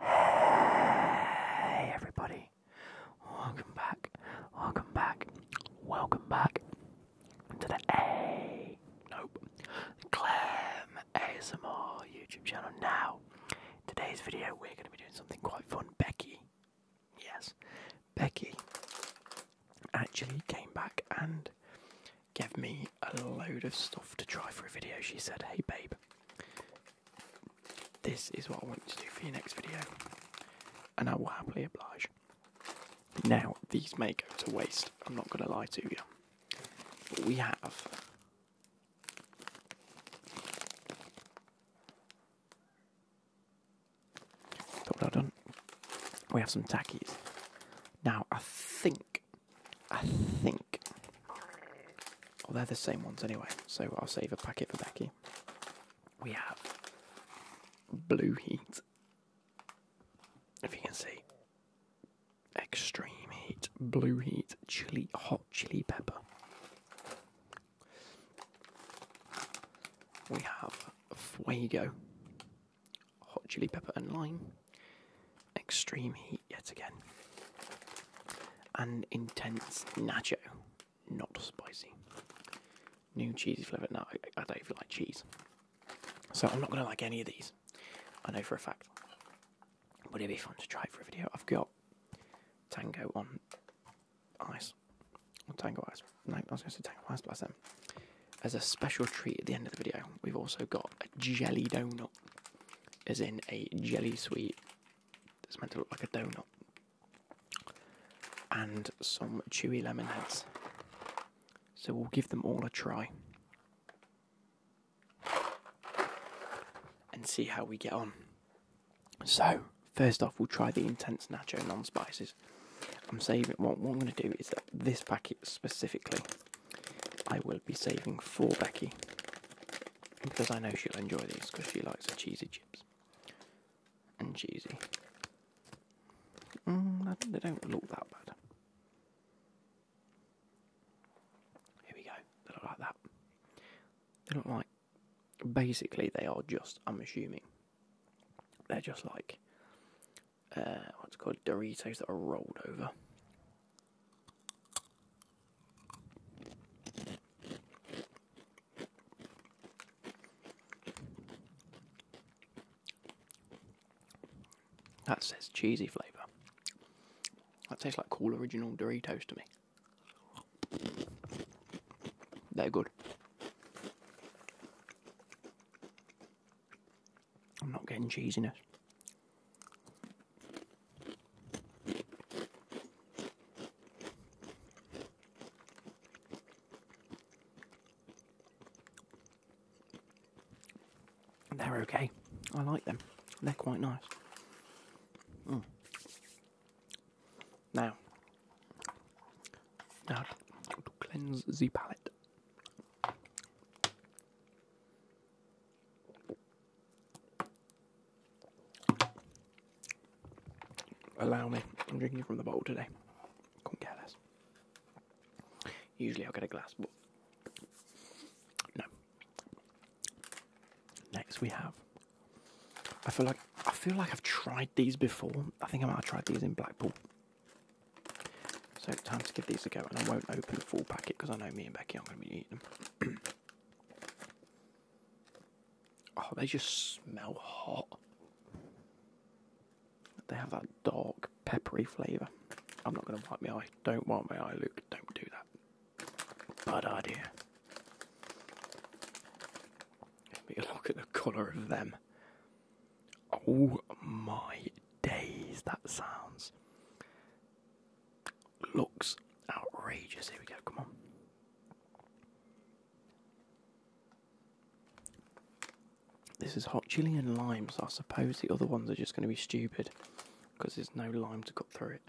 Hey everybody, welcome back, welcome back, welcome back to the A, nope, Clem ASMR YouTube channel. Now, today's video we're going to be doing something quite fun. Becky, yes, Becky actually came back and gave me a load of stuff to try for a video. She said, hey babe, this is what I want you to do for your next video, and I will happily oblige. Now, these may go to waste, I'm not going to lie to you. But we have Thought well done. We have some tackies. Now I think I think. Oh, they're the same ones anyway, so I'll save a packet for Becky. We have Blue Heat. If you can see. Extreme Heat, Blue Heat, Chili, Hot Chili Pepper. We have Fuego, Hot Chili Pepper and Lime extreme heat yet again. An intense nacho, not spicy. New cheesy flavour. No, I, don't even like cheese. So I'm not going to like any of these. I know for a fact. But it'd be fun to try for a video. I've got Tango on ice. Or Tango ice. No, I was going to say Tango ice, Plus that's them. As a special treat at the end of the video, we've also got a jelly donut. Is in a jelly sweet that's meant to look like a donut, and some chewy lemon heads. So we'll give them all a try and see how we get on. So, first off, we'll try the intense nacho non spices. I'm saving what, what I'm going to do is that this packet specifically I will be saving for Becky because I know she'll enjoy these because she likes her cheesy chips and cheesy. Mm, they don't look that bad. Here we go. They look like that. They look like. Basically, they are just. I'm assuming they're just like uh, what's called Doritos that are rolled over. That says cheesy flavour. That tastes like cool original Doritos to me. They're good. I'm not getting cheesiness. They're okay. I like them. They're quite nice. Hmm. Now, now to cleanse the palate. Allow me, I'm drinking from the bottle today. Couldn't care Usually I'll get a glass, but no. Next we have. I feel like I feel like I've tried these before. I think I might have tried these in Blackpool. So time to give these a go, and I won't open the full packet because I know me and Becky are going to be oh, they just smell hot. They have that dark, peppery flavour. I'm not going to wipe my eye. Don't wipe my eye, Luke. Don't do that. Bad idea. Let me look at the colour of them. Oh my days, that sounds looks outrageous. Here we go, come on. This is hot chili and lime, so I suppose the other ones are just going to be stupid because there's no lime to cut through it.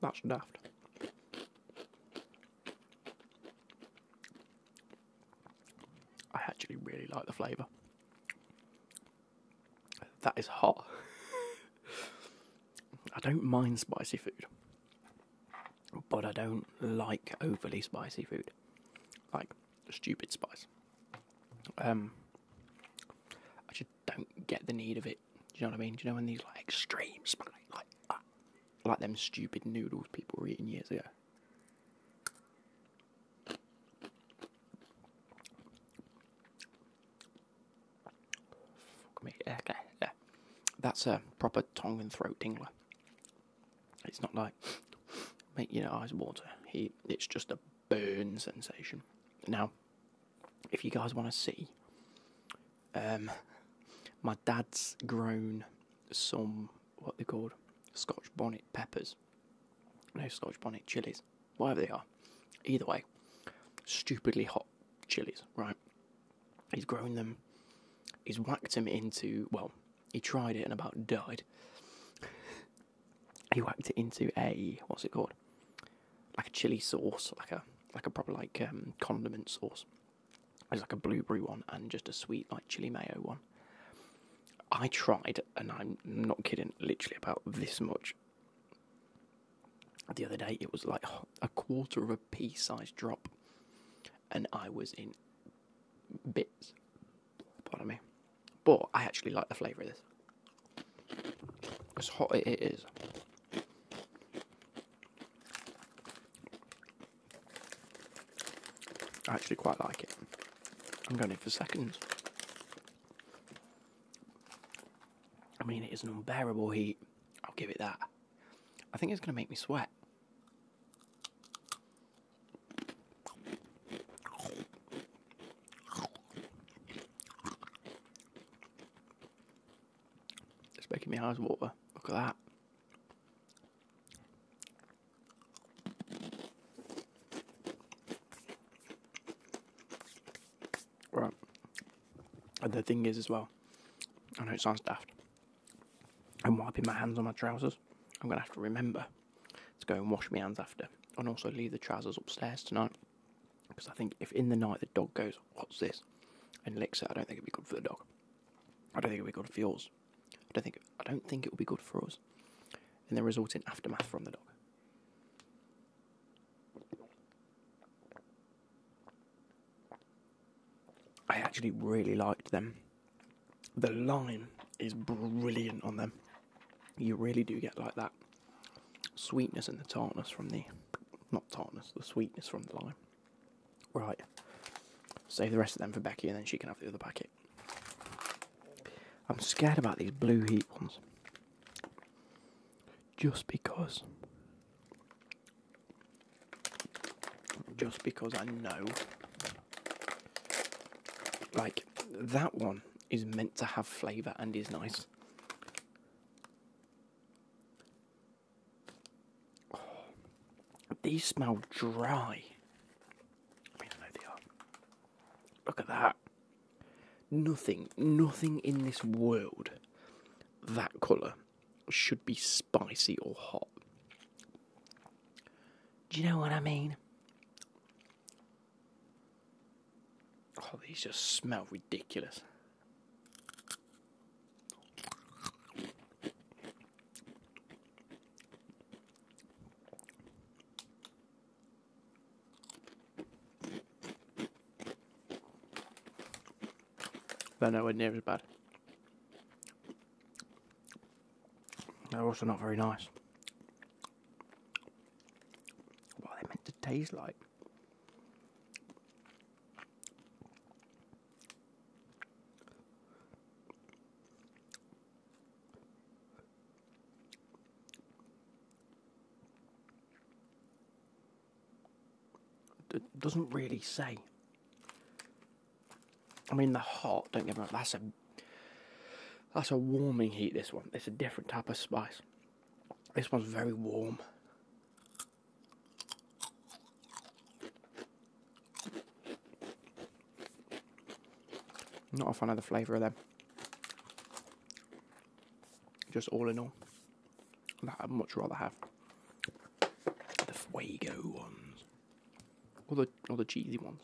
That's daft. I actually really like the flavour. That is hot. I don't mind spicy food, but I don't like overly spicy food, like stupid spice. Um, I just don't get the need of it do you know what I mean? Do you know when these like extreme spice, like ah, like them stupid noodles people were eating years ago? Fuck me. Okay, yeah. That's a proper tongue and throat tingler. It's not like make your eyes water. It's just a burn sensation. Now, if you guys want to see, um, my dad's grown some what they're called Scotch bonnet peppers, no Scotch bonnet chilies, whatever they are. Either way, stupidly hot chilies, right? He's grown them. He's whacked them into well, he tried it and about died. he whacked it into a what's it called? like a chili sauce, like a like a proper like um, condiment sauce. There's like a blueberry one and just a sweet like chili mayo one. I tried, and I'm not kidding, literally about this much. The other day, it was like a quarter of a pea sized drop, and I was in bits. Pardon me. But I actually like the flavour of this. As hot it is. I actually quite like it. I'm going in for seconds. I mean, it is an unbearable heat. I'll give it that. I think it's going to make me sweat. It's making me eyes water. Look at that. Right. And the thing is as well, I know it sounds daft. I'm wiping my hands on my trousers. I'm gonna have to remember to go and wash my hands after and also leave the trousers upstairs tonight. Because I think if in the night the dog goes, What's this? and licks it, I don't think it'd be good for the dog. I don't think it'd be good for yours. I don't think I don't think it would be good for us. And the resulting aftermath from the dog. I actually really liked them. The line is brilliant on them. You really do get like that sweetness and the tartness from the not tartness, the sweetness from the lime. Right. Save the rest of them for Becky and then she can have the other packet. I'm scared about these blue heat ones. Just because just because I know like that one is meant to have flavour and is nice. Oh, these smell dry. Look at that. Nothing, nothing in this world that colour should be spicy or hot. Do you know what I mean? Oh, these just smell ridiculous. They're nowhere near as bad. They're also not very nice. What they meant to taste like? It doesn't really say. I mean, the hot. Don't get me wrong. That's a that's a warming heat. This one. It's a different type of spice. This one's very warm. Not a fan of the flavour of them. Just all in all, that I'd much rather have the Fuego ones or the or the cheesy ones.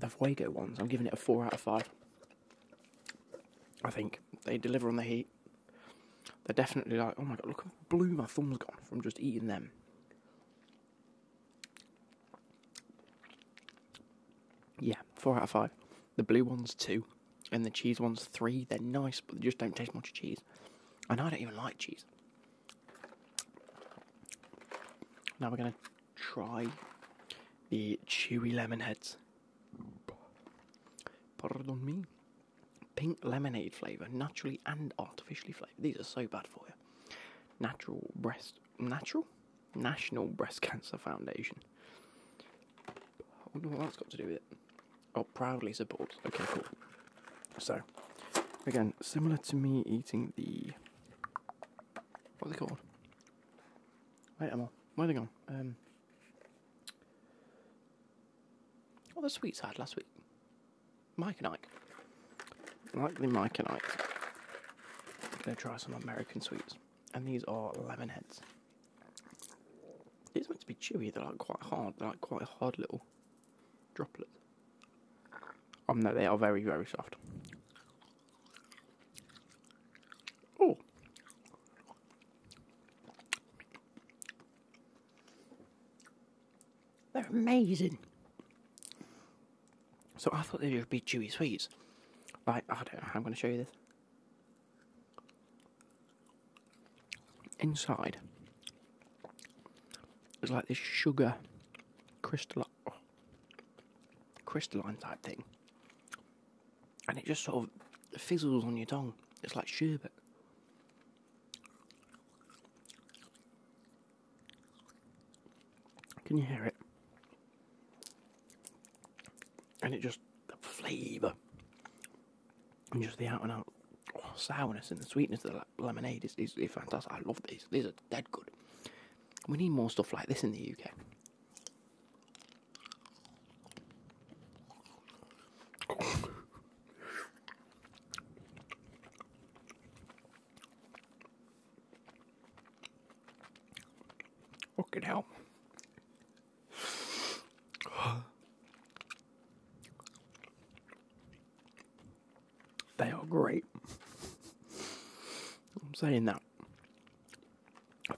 The Fuego ones, I'm giving it a 4 out of 5. I think they deliver on the heat. They're definitely like, oh my god, look how blue my thumb's gone from just eating them. Yeah, 4 out of 5. The blue one's 2, and the cheese one's 3. They're nice, but they just don't taste much cheese. And I don't even like cheese. Now we're going to try the chewy lemon heads. Pardon me. Pink lemonade flavour, naturally and artificially flavoured. These are so bad for you. Natural breast. Natural? National Breast Cancer Foundation. I wonder what that's got to do with it. Oh, proudly support. Okay, cool. So, again, similar to me eating the. What are they called? Wait, Emma, where are they gone? Um, what oh, the sweets I had last week? Mike and Ike. Likely Mike and Ike. I'm gonna try some American sweets. And these are lemon heads. These are meant to be chewy, they're like quite hard, they're like quite hard little droplets. Oh no, they are very, very soft. Oh. They're amazing. So I thought they'd be chewy sweets. Like, I don't know I'm going to show you this. Inside, it's like this sugar crystal crystalline type thing. And it just sort of fizzles on your tongue. It's like sherbet. Can you hear it? And it just the flavour and just the out and out sourness and the sweetness of the lemonade is, is, fantastic. I love these. These are dead good. We need more stuff like this in the UK. What could help? They are great. I'm saying that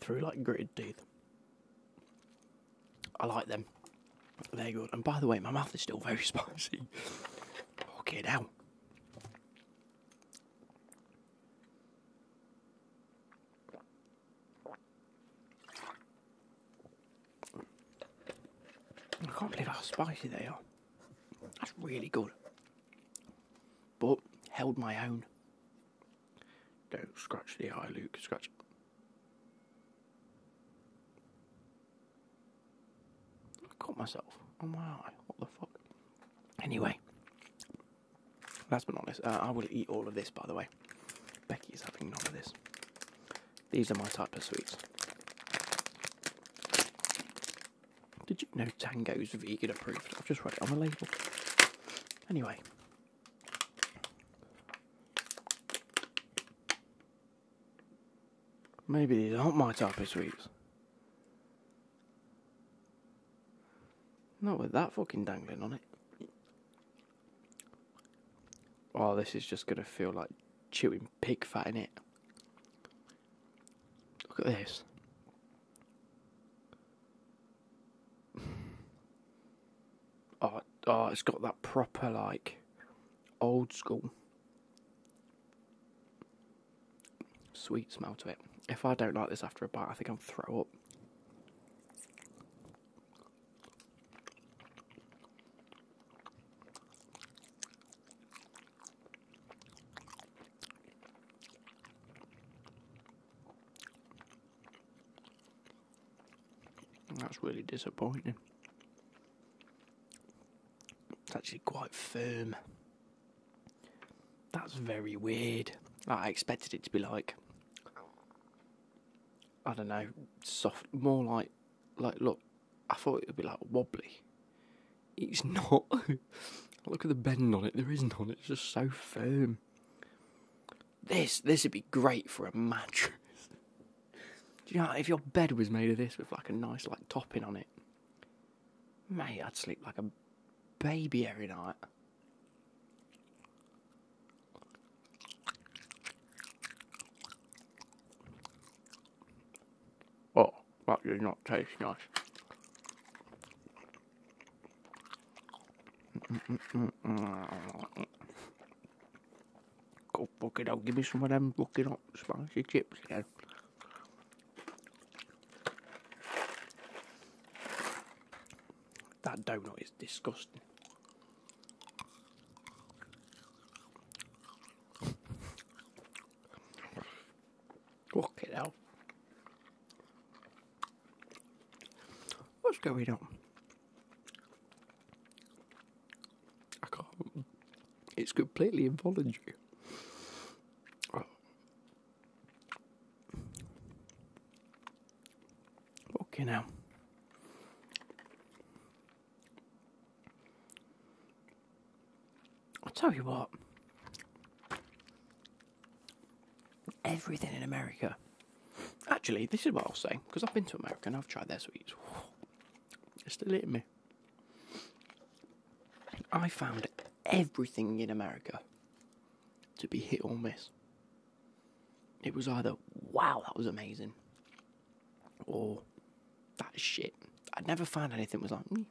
through like gritted teeth. I like them. They're good. And by the way, my mouth is still very spicy. okay, now. I can't believe how spicy they are. That's really good. But held my own. Don't scratch the eye, Luke. Scratch. I caught myself on my eye. What the fuck? Anyway, last but not least, uh, I will eat all of this, by the way. Becky's having none of this. These are my type of sweets. Did you know Tango's vegan approved? I've just read it on the label. Anyway. Maybe these aren't my type of sweets. Not with that fucking dangling on it. Oh, this is just going to feel like chewing pig fat in it. Look at this. Oh, oh, it's got that proper like old school sweet smell to it. If I don't like this after a bite, I think I'll throw up. That's really disappointing. It's actually quite firm. That's very weird. I expected it to be like, I don't know, soft, more like like, look, I thought it would be like wobbly. It's not. look at the bend on it. There is isn't on it. It's just so firm. This this would be great for a mattress. Do you know if your bed was made of this with like a nice like topping on it, mate, I'd sleep like a baby every night. Oh, that does not taste nice. Go fuck it out, give me some of them fucking hot spicy chips That donut is disgusting. Walk it out. What's going on? I can't. It's completely involuntary. Okay, now. I'll tell you what, everything in America. Actually, this is what I'll say because I've been to America and I've tried their sweets. It's still hitting me. I found everything in America to be hit or miss. It was either wow, that was amazing, or oh, that shit. I'd never find anything was like me.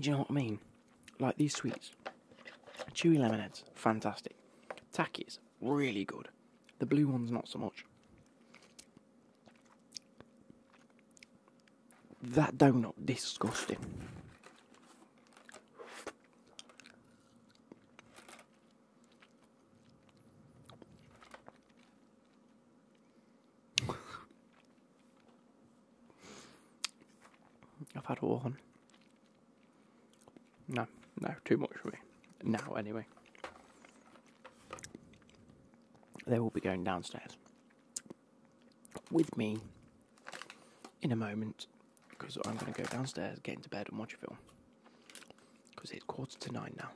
Do you know what I mean? Like these sweets. Chewy lemonades, fantastic. Takis, really good. The blue ones, not so much. That donut, disgusting. I've had one. No, no, too much for me. Now, anyway. They will be going downstairs with me in a moment because I'm going to go downstairs, get into bed, and watch a film because it's quarter to nine now.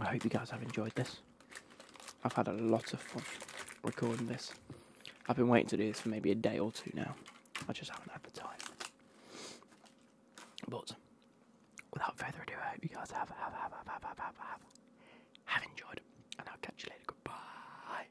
I hope you guys have enjoyed this. I've had a lot of fun recording this. I've been waiting to do this for maybe a day or two now. I just haven't had the time. But without further ado, I hope you guys have have have have have have have, have enjoyed, and I'll catch you later. Goodbye.